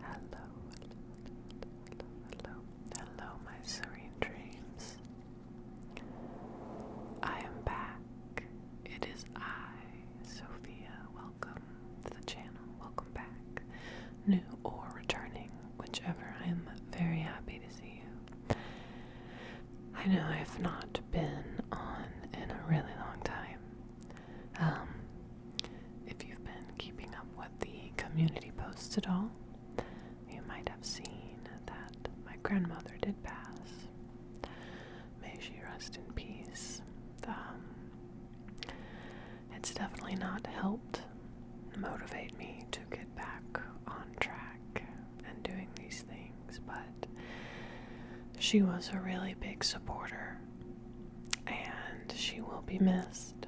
Hello, hello, hello, my serene dreams. I am back. It is I, Sophia. Welcome to the channel. Welcome back, new or returning, whichever. I am very happy to see you. I know I have not been on in a really long time. Um, if you've been keeping up with the community posts at all, you might have seen that my grandmother did pass. May she rest in peace. Um, it's definitely not helped motivate me to get back on track and doing these things, but she was a really big supporter and she will be missed.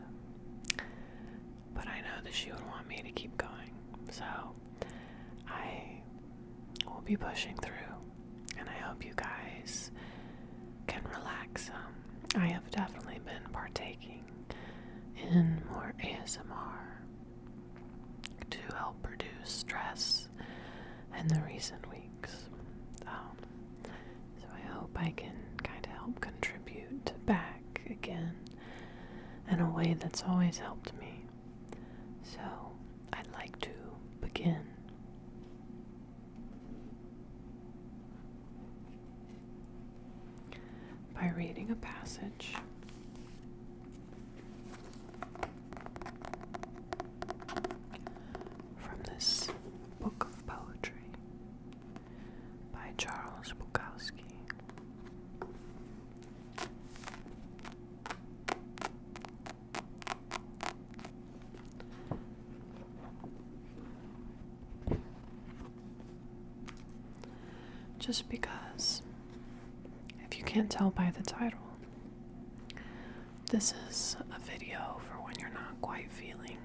But I know that she would want me to keep going, so I will be pushing through, and I hope you guys can relax um, I have definitely been partaking in more ASMR to help reduce stress in the recent weeks. Um, so I hope I can kind of help contribute back again in a way that's always helped me. So I'd like to begin. By reading a passage from this book of poetry by Charles Bukowski. Just because, if you can't tell by the title, this is a video for when you're not quite feeling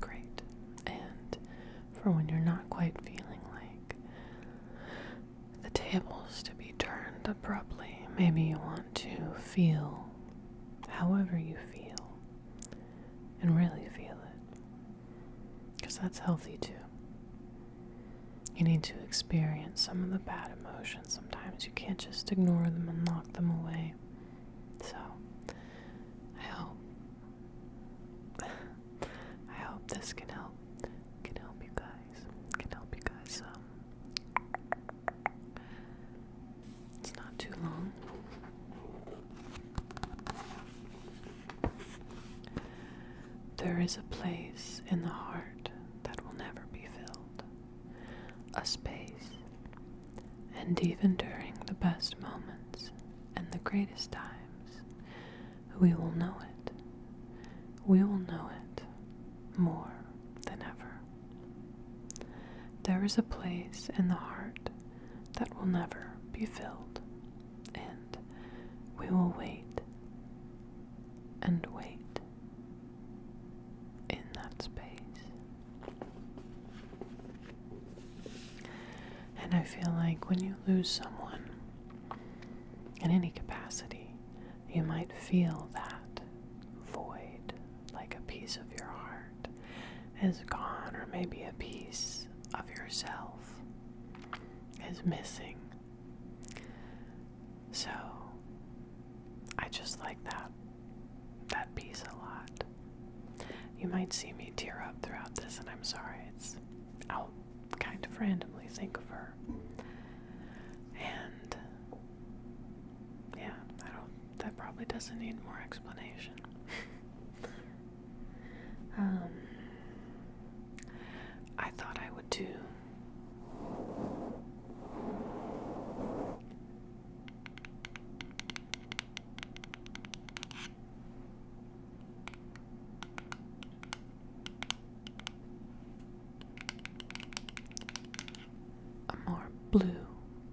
great, and for when you're not quite feeling like the tables to be turned abruptly. Maybe you want to feel however you feel and really feel it because that's healthy too. You need to experience some of the bad emotions. Sometimes you can't just ignore them and lock them away. So, I hope I hope this can help can help you guys. Can help you guys um, It's not too long. There is a place in the heart that will never be filled, a space, and even during the best moments and the greatest times, we will know it. We will know it more than ever. There is a place in the heart that will never be filled, and we will wait and wait in that space. And I feel like when you lose someone in any capacity, you might feel that void, like a piece of your heart is gone, or maybe a piece of yourself is missing. So I just like that that piece a lot. You might see me tear up throughout this and I'm sorry. It's I'll kind of randomly think of her. And yeah, I don't that probably doesn't need more explanation. um I thought I would do a more blue,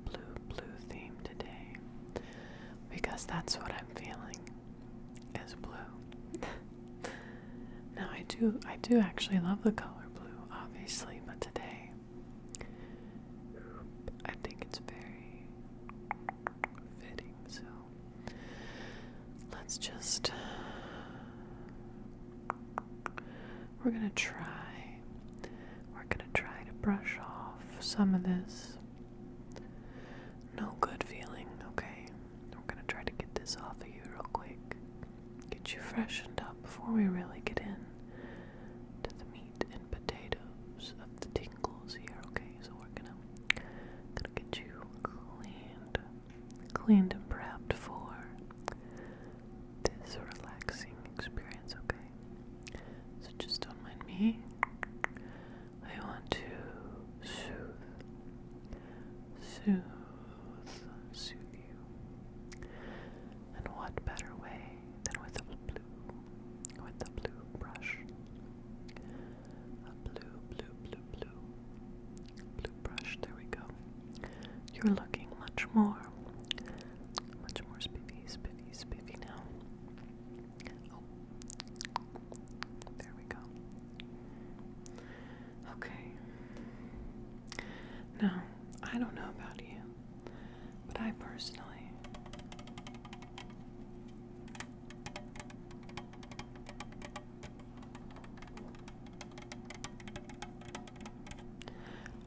blue, blue theme today because that's what I'm feeling is blue. Now I do I do actually love the color blue, obviously, but today I think it's very fitting, so let's just we're gonna try we're gonna try to brush off some of this no good feeling, okay? We're gonna try to get this off of you real quick. Get you freshened up before we really get in to the meat and potatoes of the tingles here, okay? So we're gonna, gonna get you cleaned, cleaned and prepped for this relaxing experience, okay? So just don't mind me. I want to soothe soothe, soothe you. And what better way than with a blue, with a blue brush? A blue, blue, blue, blue, blue brush. There we go. You're looking much more, much more spiffy, spiffy, spiffy now. Oh. There we go. Okay. Now, I don't know about you, but I personally.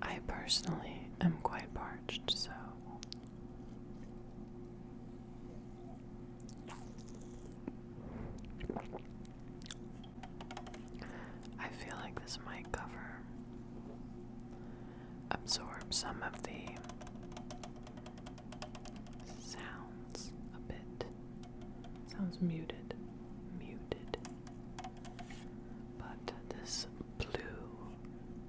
I personally am quite parched, so I feel like this might cover, absorb some of the sounds a bit. Sounds muted, muted. But this blue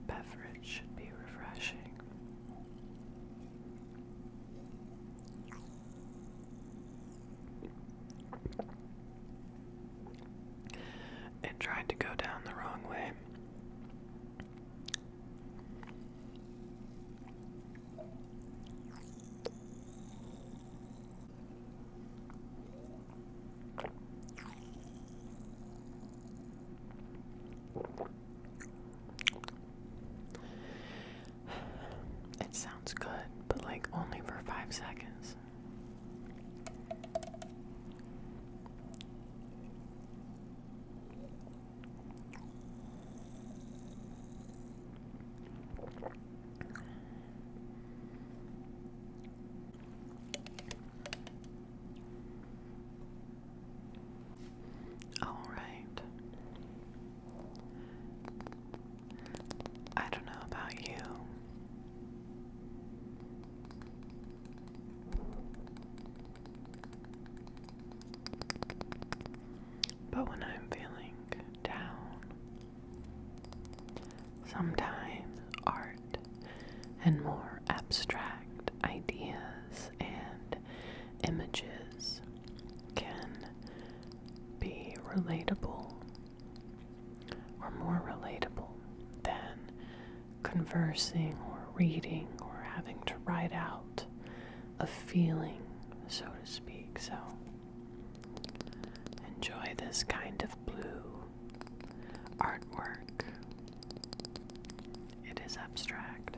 beverage should be refreshing and tried to go down the wrong way. It sounds good, but like only for five seconds. All right. I don't know about you. But when I'm feeling down, sometimes art and more abstract ideas and images can be relatable or more relatable than conversing or reading or having to write out a feeling, so to speak. So, enjoy this kind of blue artwork, it is abstract.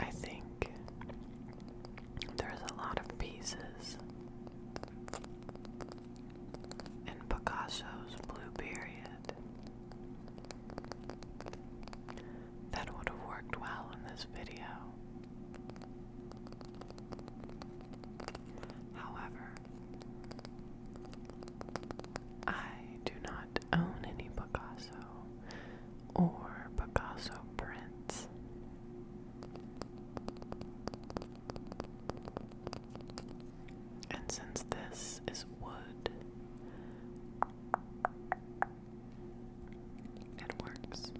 I think there's a lot of pieces in Picasso's Blue Period that would have worked well in this video. However, I do not own any Picasso or Picasso prints. And since this is wood, it works.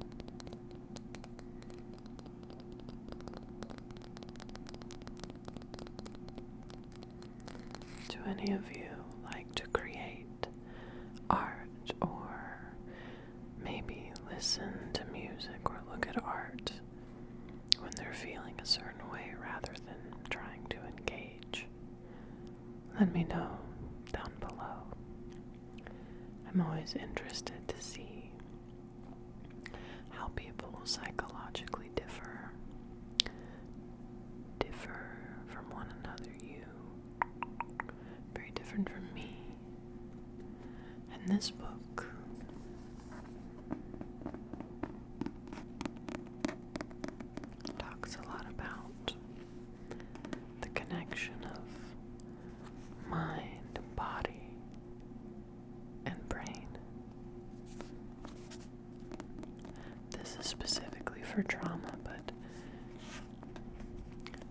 Do any of you like to create art or maybe listen to music or look at art when they're feeling a certain way rather than trying to engage? let me know down below. I'm always interested to see how people psychologically differ differ from one another you very different from me and this book talks a lot about the connection of mind, body, and brain. This is specifically for trauma, but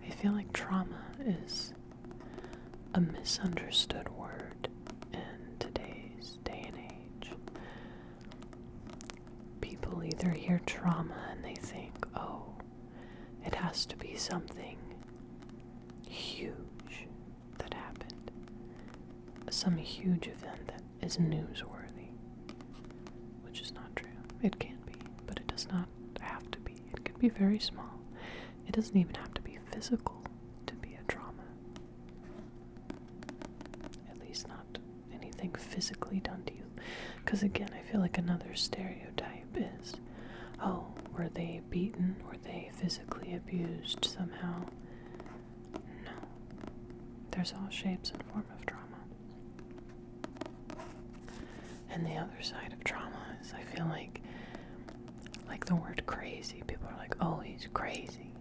I feel like trauma is a misunderstood word in today's day and age people either hear trauma and they think, oh, it has to be something huge that happened, some huge event that is newsworthy, which is not true. It can be, but it does not have to be. It can be very small, it doesn't even have to be physical to be a trauma. At least anything physically done to you. Because again, I feel like another stereotype is oh, were they beaten? Were they physically abused somehow? No. There's all shapes and form of trauma. And the other side of trauma is I feel like like the word crazy, people are like, oh, he's crazy.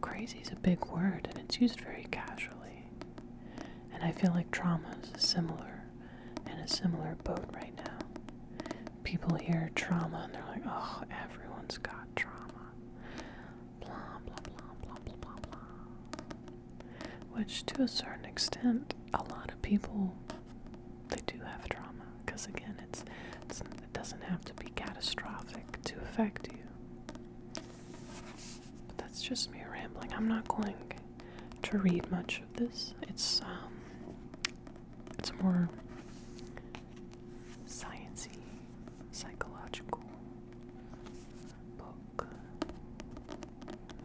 Crazy is a big word and it's used very casually way. And I feel like trauma is similar in a similar boat right now. People hear trauma and they're like, oh, everyone's got trauma. Blah, blah, blah, blah, blah, blah, blah. Which, to a certain extent, a lot of people, they do have trauma. Because, again, it's, it's, it doesn't have to be catastrophic to affect you. But that's just me rambling. I'm not going to read much of this. It's um it's more sciencey, psychological book.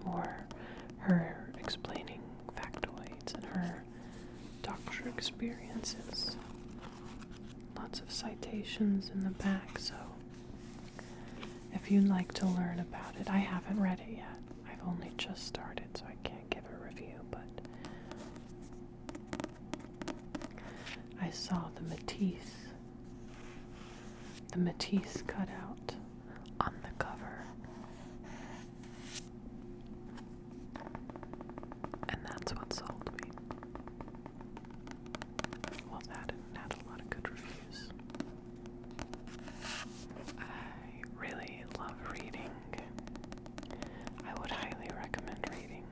Or her explaining factoids and her doctor experiences lots of citations in the back, so if you'd like to learn about it, I haven't read it yet. I've only just started, so I can't give a review, but I saw the Matisse, the Matisse cutout on the cover. And that's what sold me. Well, that had a lot of good reviews. I really love reading. I would highly recommend reading.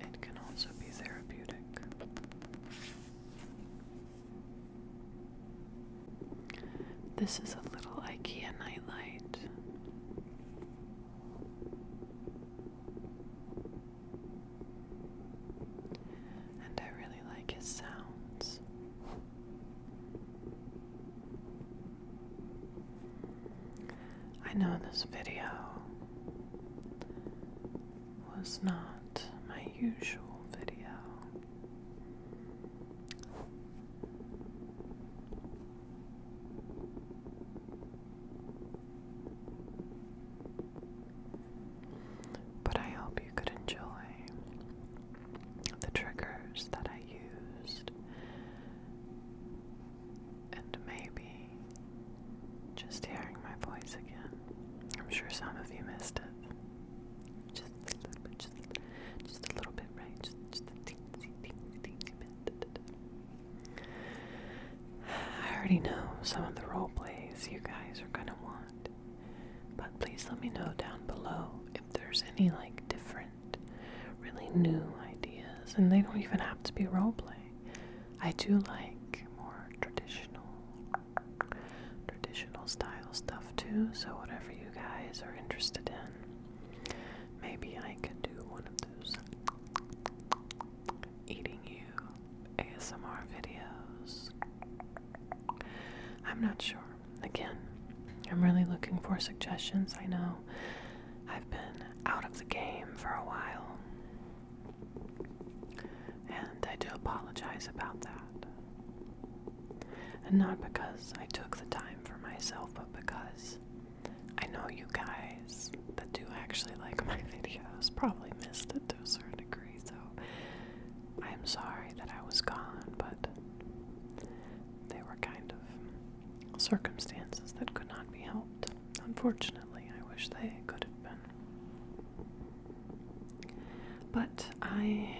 It can also be therapeutic. This is a little IKEA nightlight. And I really like his sounds. I know this video was not my usual video. But I hope you could enjoy the triggers that I used, and maybe just hearing my voice again. I'm sure some of you missed it. Just a little bit, just, a little bit, right? I already know some of the role plays you guys are gonna want, but please let me know down below if there's any like different, really new ideas, and they don't even have to be role play. I do like more traditional, traditional style stuff too. So whatever you guys are interested in, Maybe I could do one of those eating you ASMR videos. I'm not sure. Again, I'm really looking for suggestions. I know I've been out of the game for a while. And I do apologize about that. And not because I took the time for myself, but because I know you guys that do actually like my videos probably missed it to a certain degree, so I'm sorry that I was gone, but they were kind of circumstances that could not be helped. Unfortunately, I wish they could have been. But I,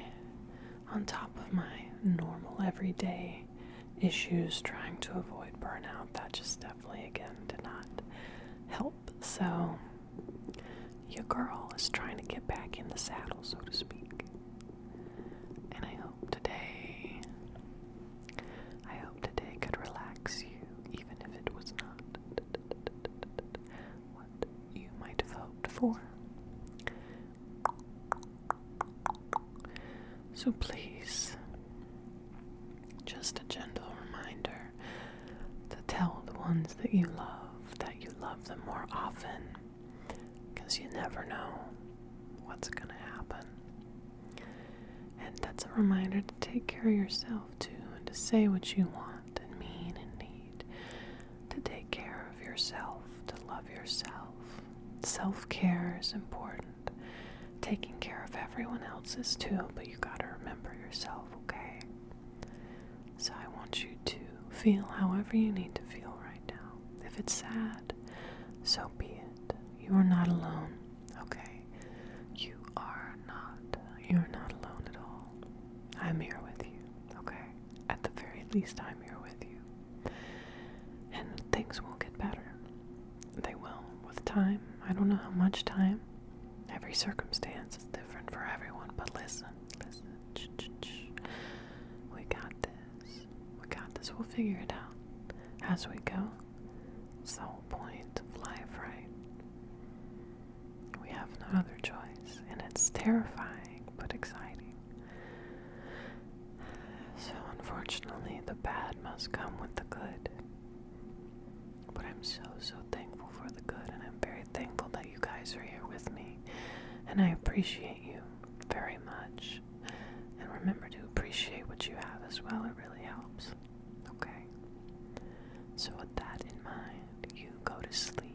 on top of my normal everyday issues trying to avoid burnout, that just definitely again did not help. So, your girl is trying to get back in the saddle, so to speak. And I hope today, I hope today could relax you, even if it was not what you might have hoped for. So please, just a gentle reminder to tell the ones that you love that you love them more often because you never know what's going to happen. And that's a reminder to take care of yourself too and to say what you want and mean and need. To take care of yourself, to love yourself. Self care is important taking care of everyone else is too, but you gotta remember yourself, okay? So I want you to feel however you need to feel right now. If it's sad, so be it. You are not alone, okay? You are not. You're not alone at all. I'm here with you, okay? At the very least, I'm here with you. And things will get better. They will, with time. I don't know how much time. Every circumstance is different for everyone, but listen, listen. We got this. We got this. We'll figure it out as we go. It's the whole point of life, right? We have no other choice, and it's terrifying but exciting. So, unfortunately, the bad must come with the good. But I'm so, so thankful for the good, and I'm very thankful that you guys are here with me. And I appreciate you very much. And remember to appreciate what you have as well, it really helps. Okay? So, with that in mind, you go to sleep.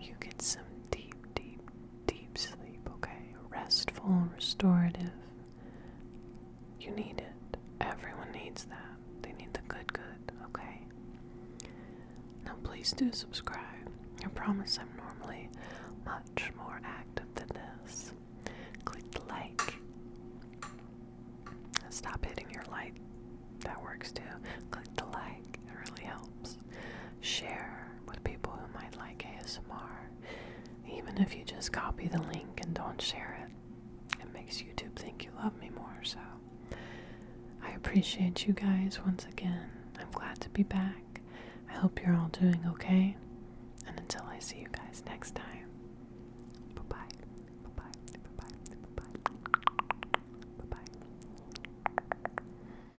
You get some deep, deep, deep sleep, okay? Restful, restorative. You need it. Everyone needs that. They need the good, good, okay? Now, please do subscribe. I promise I'm normally much more active than this. Click the like. Stop hitting your like. That works too. Click the like. It really helps. Share with people who might like ASMR. Even if you just copy the link and don't share it, it makes YouTube think you love me more. So I appreciate you guys once again. I'm glad to be back. I hope you're all doing okay. And until I see you guys next time, bye. Bye bye. Bye bye. Bye bye. Bye bye.